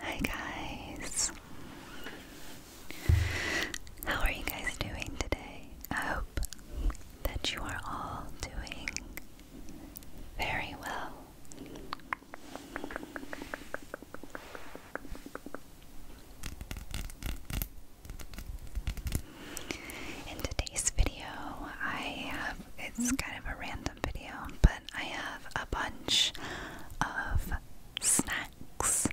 Hi guys. How are you guys doing today? I hope that you are all doing very well. In today's video, I have it's kind of a random video, but I have a bunch of snacks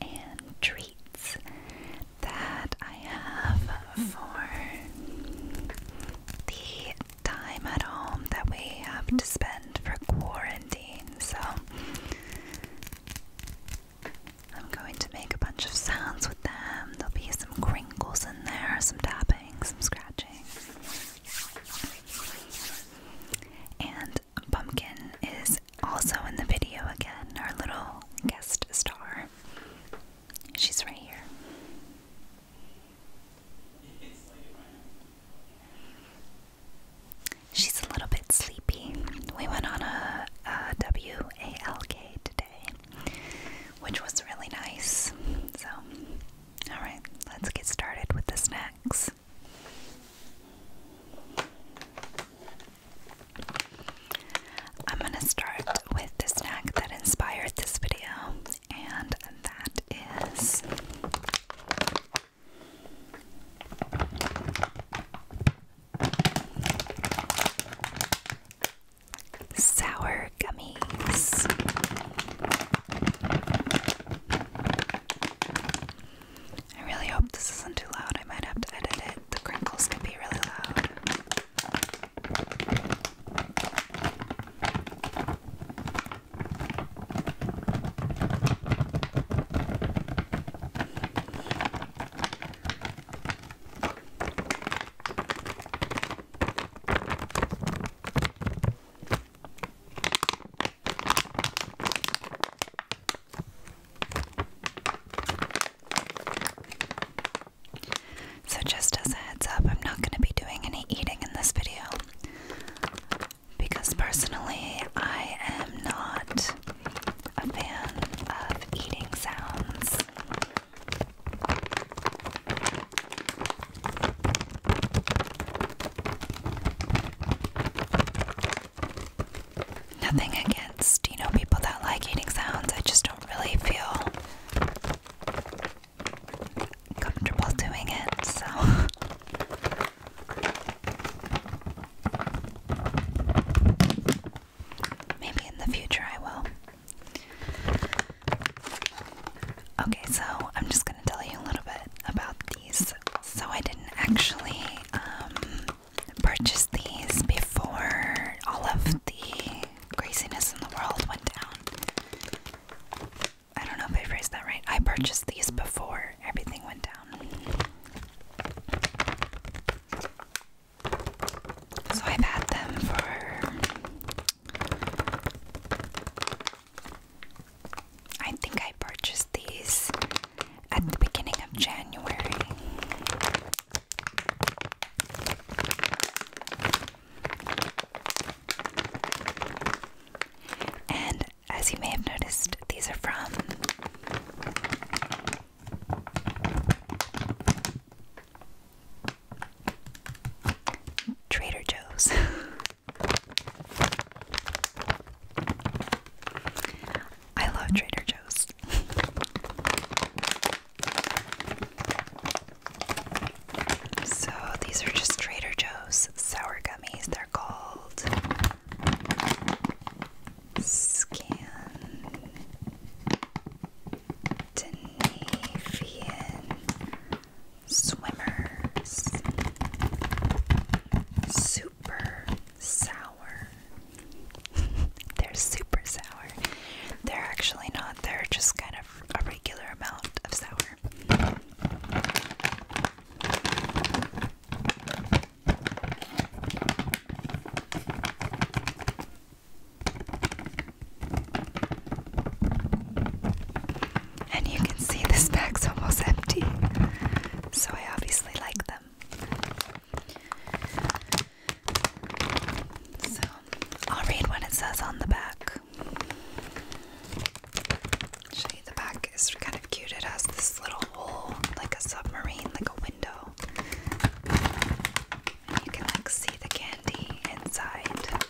and treats that I have for the time at home that we have to spend for quarantine. So I'm going to make a bunch of sounds with them. There'll be some crinkles in there, some tapping, some scratching. And Pumpkin is also in the video again, our little guest star. She's right here. She's a little bit sleepy. We went on a, WALK today, which was really nice. So, Alright, let's get started with the snacks. I'm going to start with the snack that inspired this video, and that is sour Gummies. I really hope this isn't too loud. I might have to edit it. The crinkles can be really loud. So, just as a heads up, I'm not going to be doing any eating in this video because personally, I am not a fan of eating sounds. Nothing against, you know, people that like eating sounds. I just don't really feel comfortable doing it, so. Maybe in the future I will. Okay, so I'm just gonna tell you a little bit about these. So I didn't actually um, purchase these before all of the craziness in the world went down. I don't know if I phrased that right. I purchased these before everything went down. So I've had them for I think I purchased these at the beginning of January. And as you may have noticed, these are from Trader Joe's. I love Trader Joe's. so these are just Trader Joe's sour gummies. They're called Scandinavian Swimmers. Super sour. they're super sour. They're actually not, they're just kind of a regular amount of sour. And you can see this bag's almost empty, so I obviously like them. So I'll read what it says on the back. Actually, the back is kind of cute. It has this little hole, like a submarine, like a window. And you can like see the candy inside.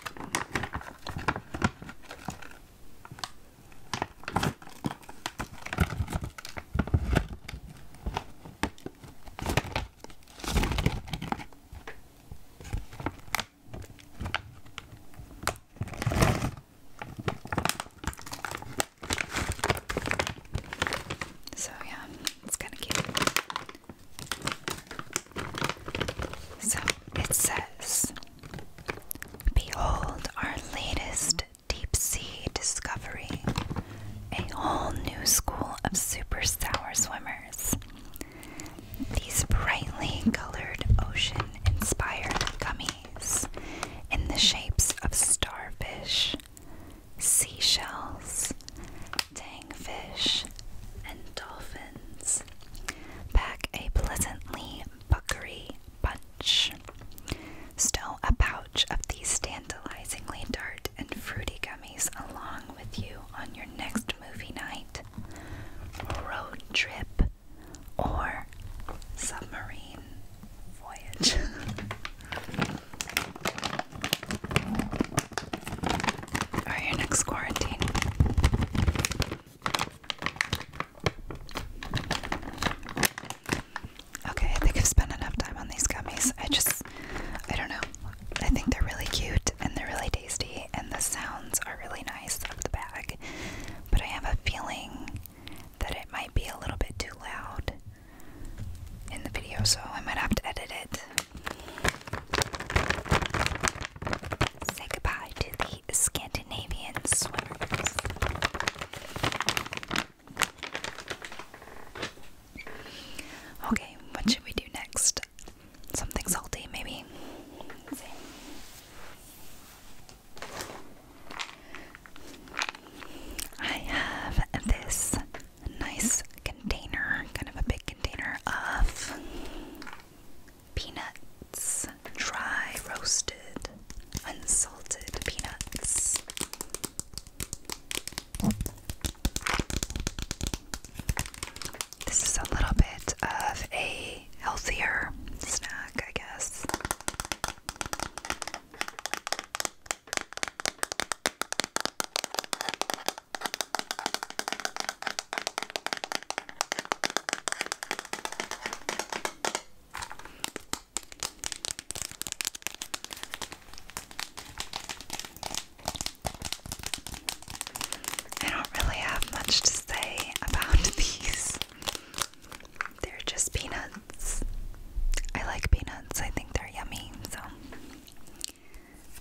So yeah, it's kind of cute. So it says Behold our latest deep sea discovery, a whole new school of super sour swimmers. These brightly colored ocean inspired gummies in the shapes of starfish, seashells, tang fish, and dolphins is. Pack a pleasantly buckery bunch. Stow a pouch of these tantalizingly tart and fruity gummies along with you on your next movie night, road trip, or submarine voyage. All right, your next quarantine. Okay, I think I've spent enough time on these gummies. I just, I don't know. I think they're really cute and they're really tasty, and the sounds are really nice of the bag. But I have a feeling that it might be a little bit too loud in the video, so I might have to edit it. Say goodbye to the Scandinavian swimmers. Okay, what should we do next? Something salty, maybe? I have this nice container, kind of a big container of Peanuts, dry roasted, unsalted peanuts. This is a little bit of a healthier snack, I guess. I don't really have much to say about these. They're just peanuts. I like peanuts. I think they're yummy. So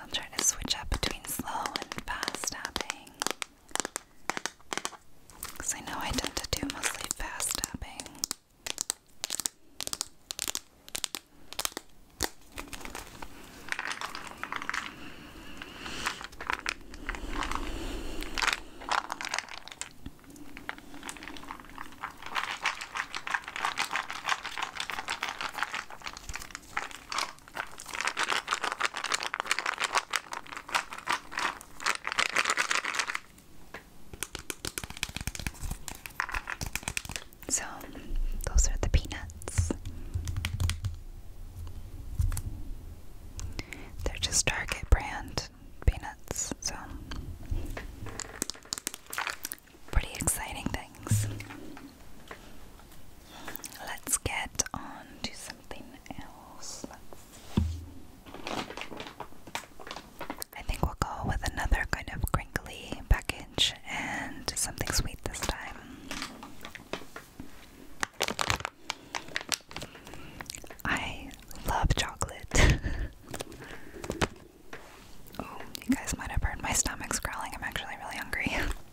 I'll try to switch up between slow and fast tapping. Because I know I tend to do mostly fast tapping. So, those are the peanuts. They're just Target brand peanuts, so pretty exciting things let's get on to something else. I think we'll go with another kind of crinkly package and something sweet this time. I love chocolate. oh, you guys might have heard my stomach's growling. I'm actually really hungry.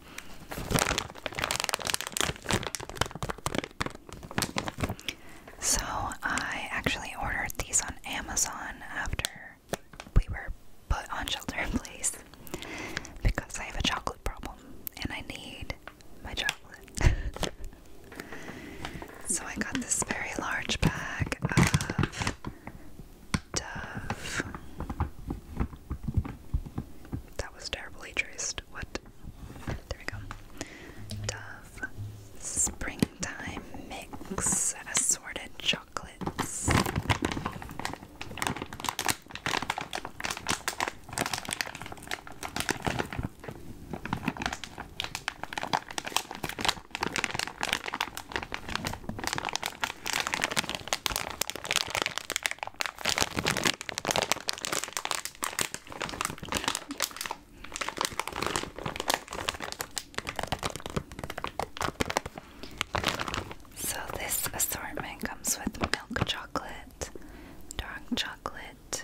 So, I actually ordered these on Amazon after we were put on shelter in place because I have a chocolate problem and I need my chocolate. so, I got this very large bag of Dove that was terribly traced. What? There we go. Dove Springtime Mix Assorted Chocolates. So, this assortment comes with milk chocolate, dark chocolate,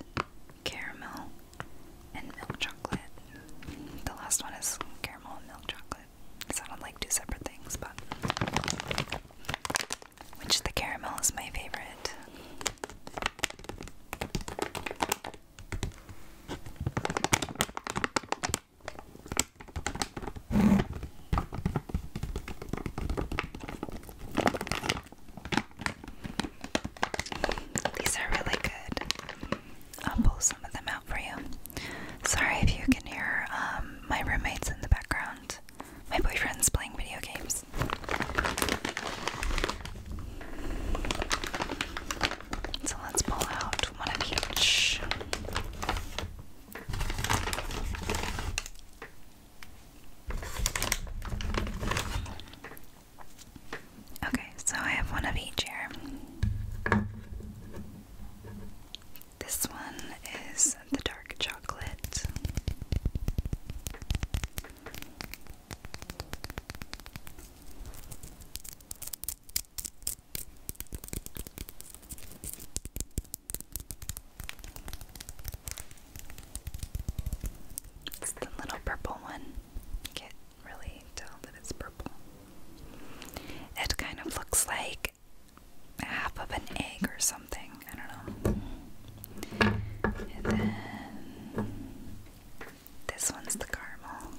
caramel, and milk chocolate. The last one is caramel and milk chocolate. It sounded like two separate things, but which the caramel is my favorite. These are really good. I'll pull some of them out for you. Sorry if you can hear um, my roommates in the background. My boyfriend's playing video games. So let's pull out one of each. Okay, so I have one of each here. This one is the dark chocolate. It's the little purple one. can't really tell that it's purple. It kind of looks like half of an egg or something. I don't know. And then this one's the caramel.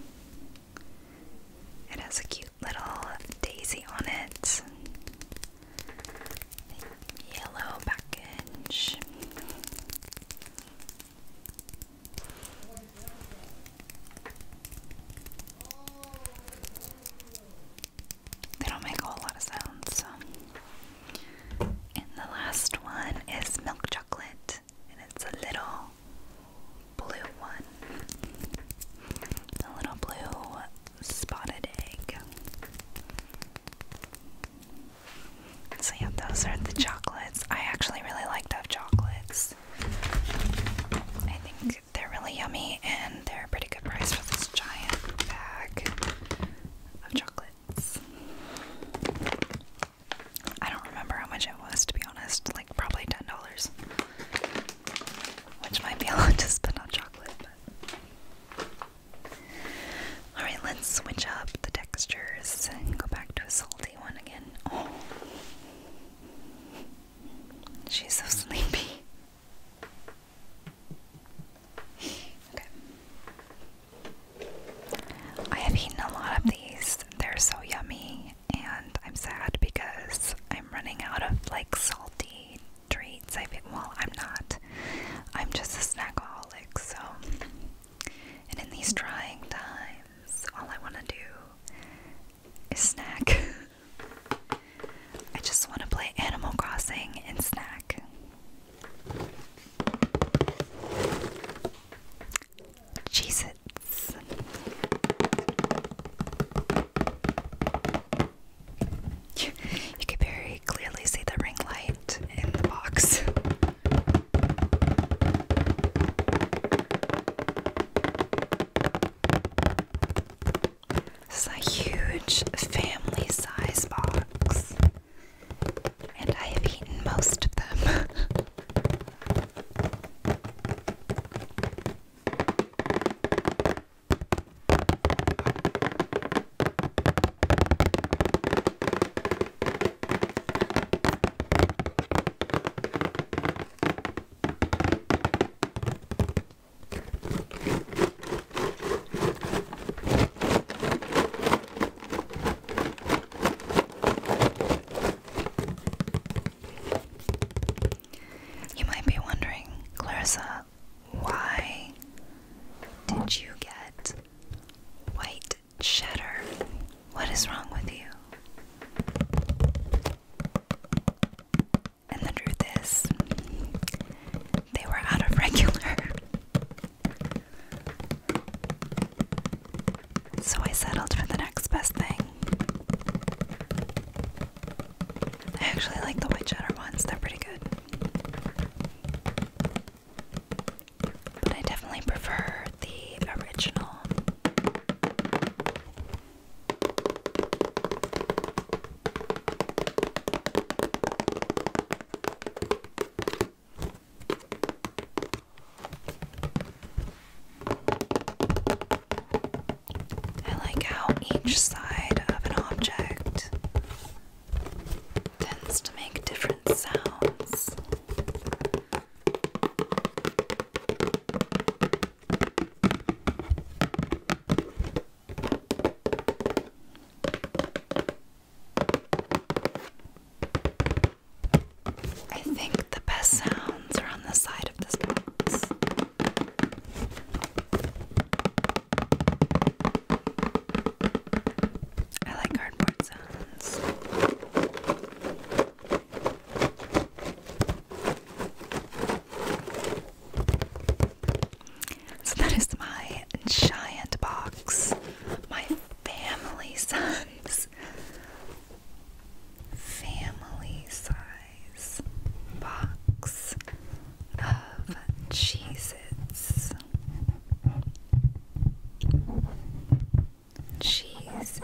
It has a cute little daisy on it. Yellow package. They don't make a whole lot of sounds. So. And the last one is milk chocolate, and it's a little blue one. A little blue spotted egg. So, yeah, those are the chocolates. I actually really like to have chocolates. I think they're really yummy and they're a pretty good price for this giant bag of chocolates. I don't remember how much it was to be honest, like probably $10, which might be a lot to spend on chocolate. Alright, let's switch up the textures and go back to a salty one again. Oh. She's so sleepy. I have eaten a lot of these. They're so yummy, and I'm sad because I'm running out of like salty treats. I think, well, I'm not. I'm just a snackaholic, so. And in these trying times, all I want to do is snack. I just want to play Animal Crossing and snack. Cheez You can very clearly see the ring light in the box. It's a huge family size box, and I have eaten most of them. You might be wondering, Clarissa, why did you get white cheddar? What is wrong with you? And the truth is, they were out of regular. So I settled for the next best thing. I actually like the white cheddar ones, they're pretty good. But I definitely prefer the original. I like how each side of an object tends to make different sounds. I think the best sounds are on the side of this box. I like cardboard sounds. So that is my giant box. My family size. Family size box of cheeses. Cheeses.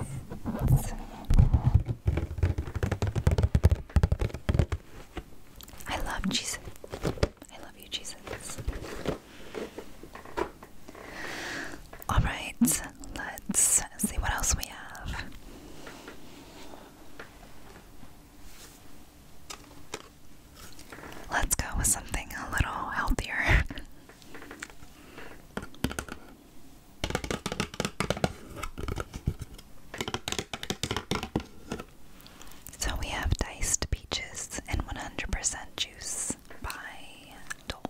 I love Jesus. I love you, Jesus. All right, let's see what else we have. Let's go with something a little healthier. So we have diced peaches and 100% juice by Dole.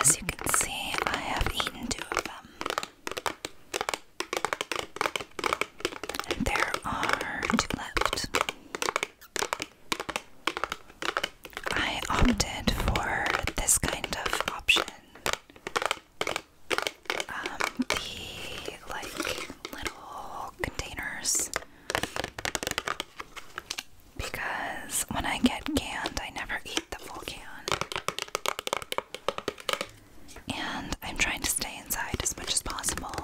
As you can see, I have eaten two of them. And there are two left. I opted for this kind of option. Um, the like little containers because when I get canned, I never eat the full can. And I'm trying to stay inside as much as possible.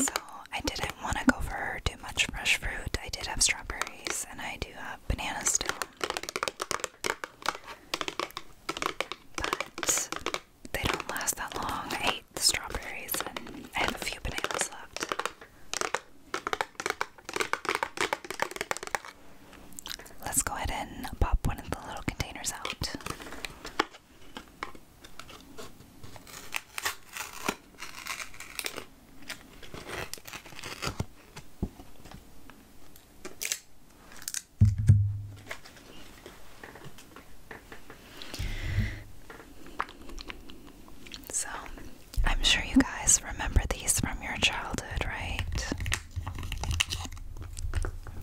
So I didn't want to go for too much fresh fruit. I did have strawberries and I do have bananas still. But they don't last that long the strawberries, and I have a few bananas left. Let's go ahead and pop one of the little containers out. So, I'm sure you guys remember these from your childhood, right?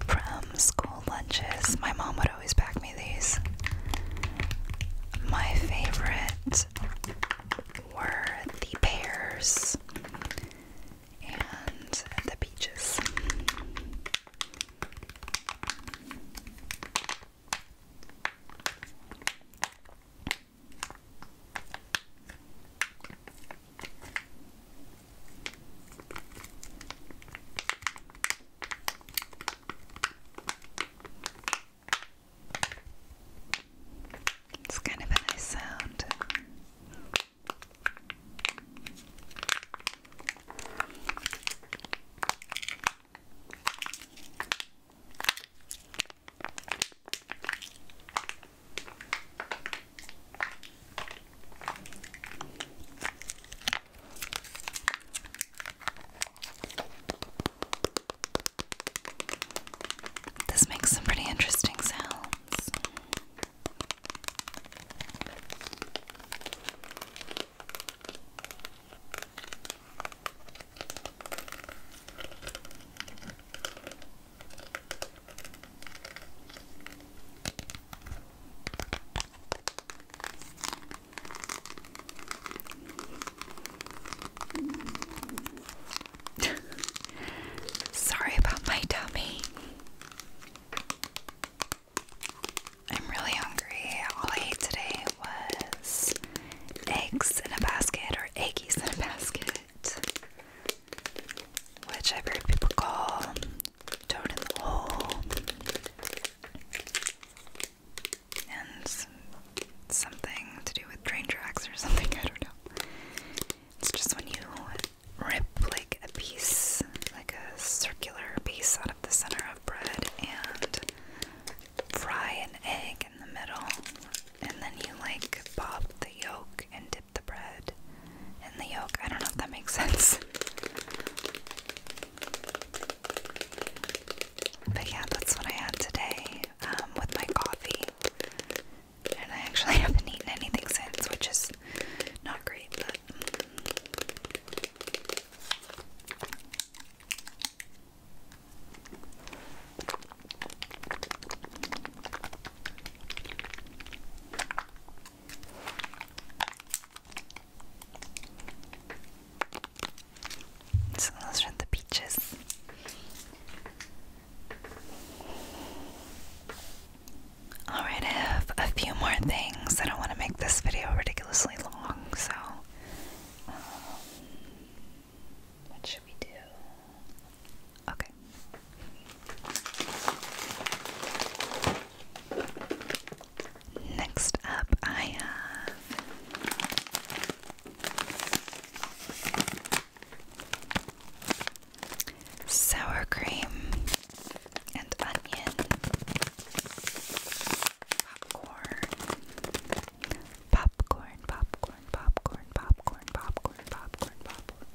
From school lunches, my mom would always pack me these. My favorite were the pears and the peaches. It's kind of a nice sound. This makes some pretty interesting sounds. Sorry about my tummy. I'm really hungry. All I ate today was eggs in a basket or eggies in a basket, which I've heard people call toad in the hole. And something to do with train tracks or something, I don't know. It's just when you rip like a piece, like a circular piece out of the center of bread and fry an egg in the middle, and then you like pop the yolk and dip the bread in the yolk. I don't know if that makes sense. But yeah, that's what I had today um, with my coffee. And I actually haven't eaten anything since, which is not great, so those are the peaches. Alright, I have a few more things. I don't want to make this video ridiculously long, so what should we do? Okay. Next up, I have sour cream and onion popcorn. Popcorn, popcorn, popcorn, popcorn, popcorn, popcorn, popcorn,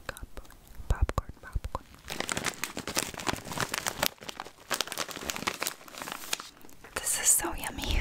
popcorn, popcorn, popcorn. This is so yummy.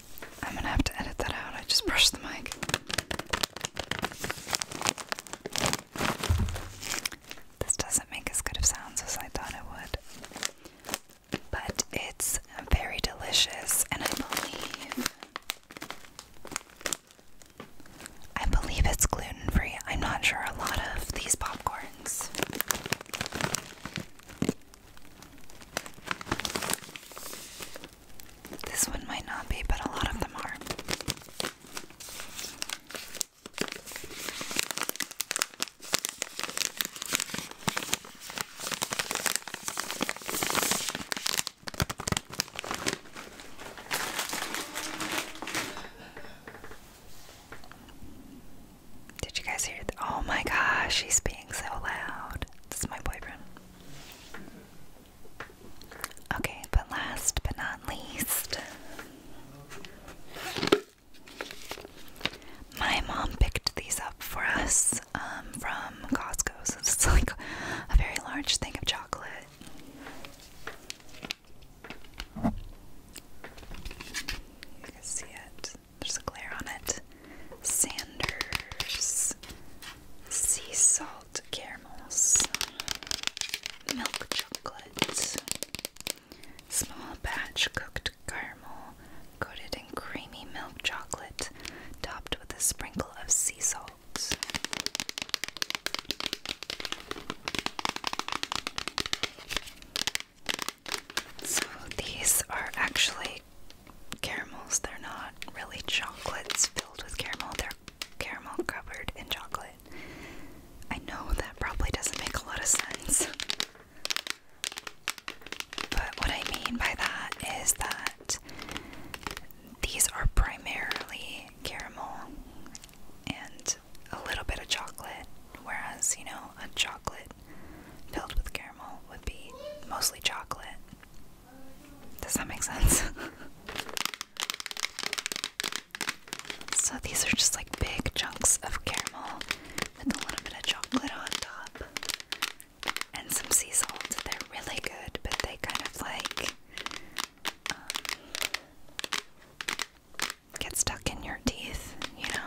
I'm gonna have to edit that out. I just brushed the mic. This doesn't make as good of sounds as I thought it would, but it's very delicious, and I believe. I believe it's gluten free. I'm not sure. A lot of these popcorns this one might not be, but a lot of them are. Did you guys hear? oh my gosh, he's being so loud. This my boyfriend. Okay, but last but not least, my mom picked these up for us um, from Costco. So it's like a very large thing of chocolate. You can see it. There's a glare on it. Sanders. Sea salt caramels. Milk chocolate. Small batch cooked caramel coated in creamy milk chocolate, topped with a sprinkle of sea salt. So these are actually caramels. They're not really chocolates filled with caramel. They're caramel covered in chocolate. I know that probably doesn't make a lot of sense. But what I mean by that is that these are primarily caramel and a little bit of chocolate, whereas, you know, a chocolate filled with caramel would be mostly chocolate. Does that make sense? so these are just like big chunks of caramel with a little bit of chocolate on top and some sea salt. They're really good, but they kind of like um, get stuck in your teeth, you know?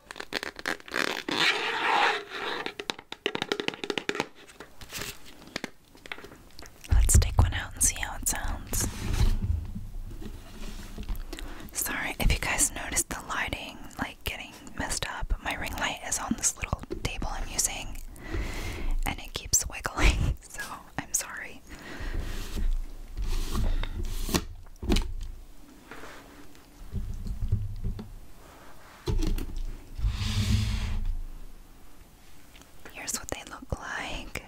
Let's take one out and see how it sounds. Sorry if you guys noticed the lighting like getting messed up. My ring light is on this little table I'm using and it keeps wiggling, so I'm sorry. Here's what they look like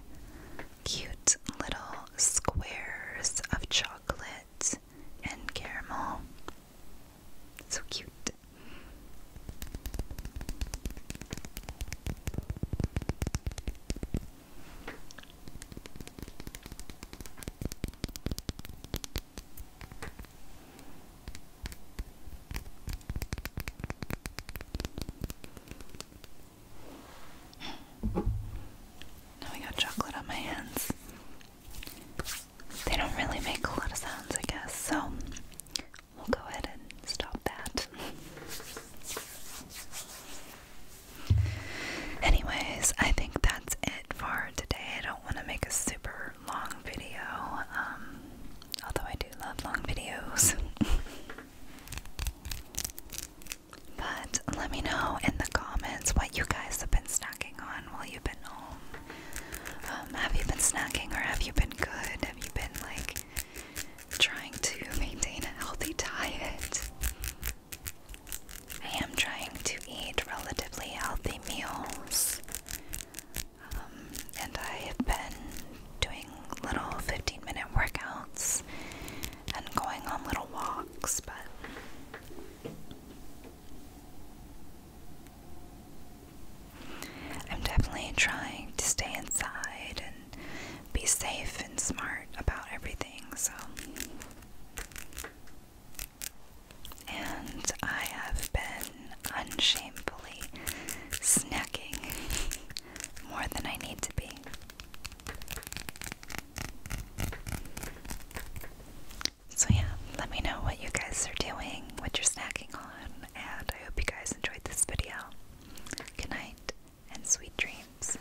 cute little squares of chocolate and caramel. So cute. Now I got chocolate on my hands. They don't really make a lot of sounds, I guess, so we'll go ahead and stop that. Anyways, I think that's it for today do want to make a super long video, um, although I do love long videos. but let me know in the comments what you guys have been snacking on while you've been home. Um, have you been snacking or have you been good? Have you been like trying to maintain a healthy diet? I am trying to eat relatively healthy meals, um, and I have been doing little 15 minute workouts and going on little walks, but. I'm definitely trying to stay inside and be safe and smart about everything, so and I have been unshamefully snacking more than I need to be. So, yeah, let me know what you guys are doing, what you're snacking on, and I hope you guys enjoyed this video. Good night and sweet dreams.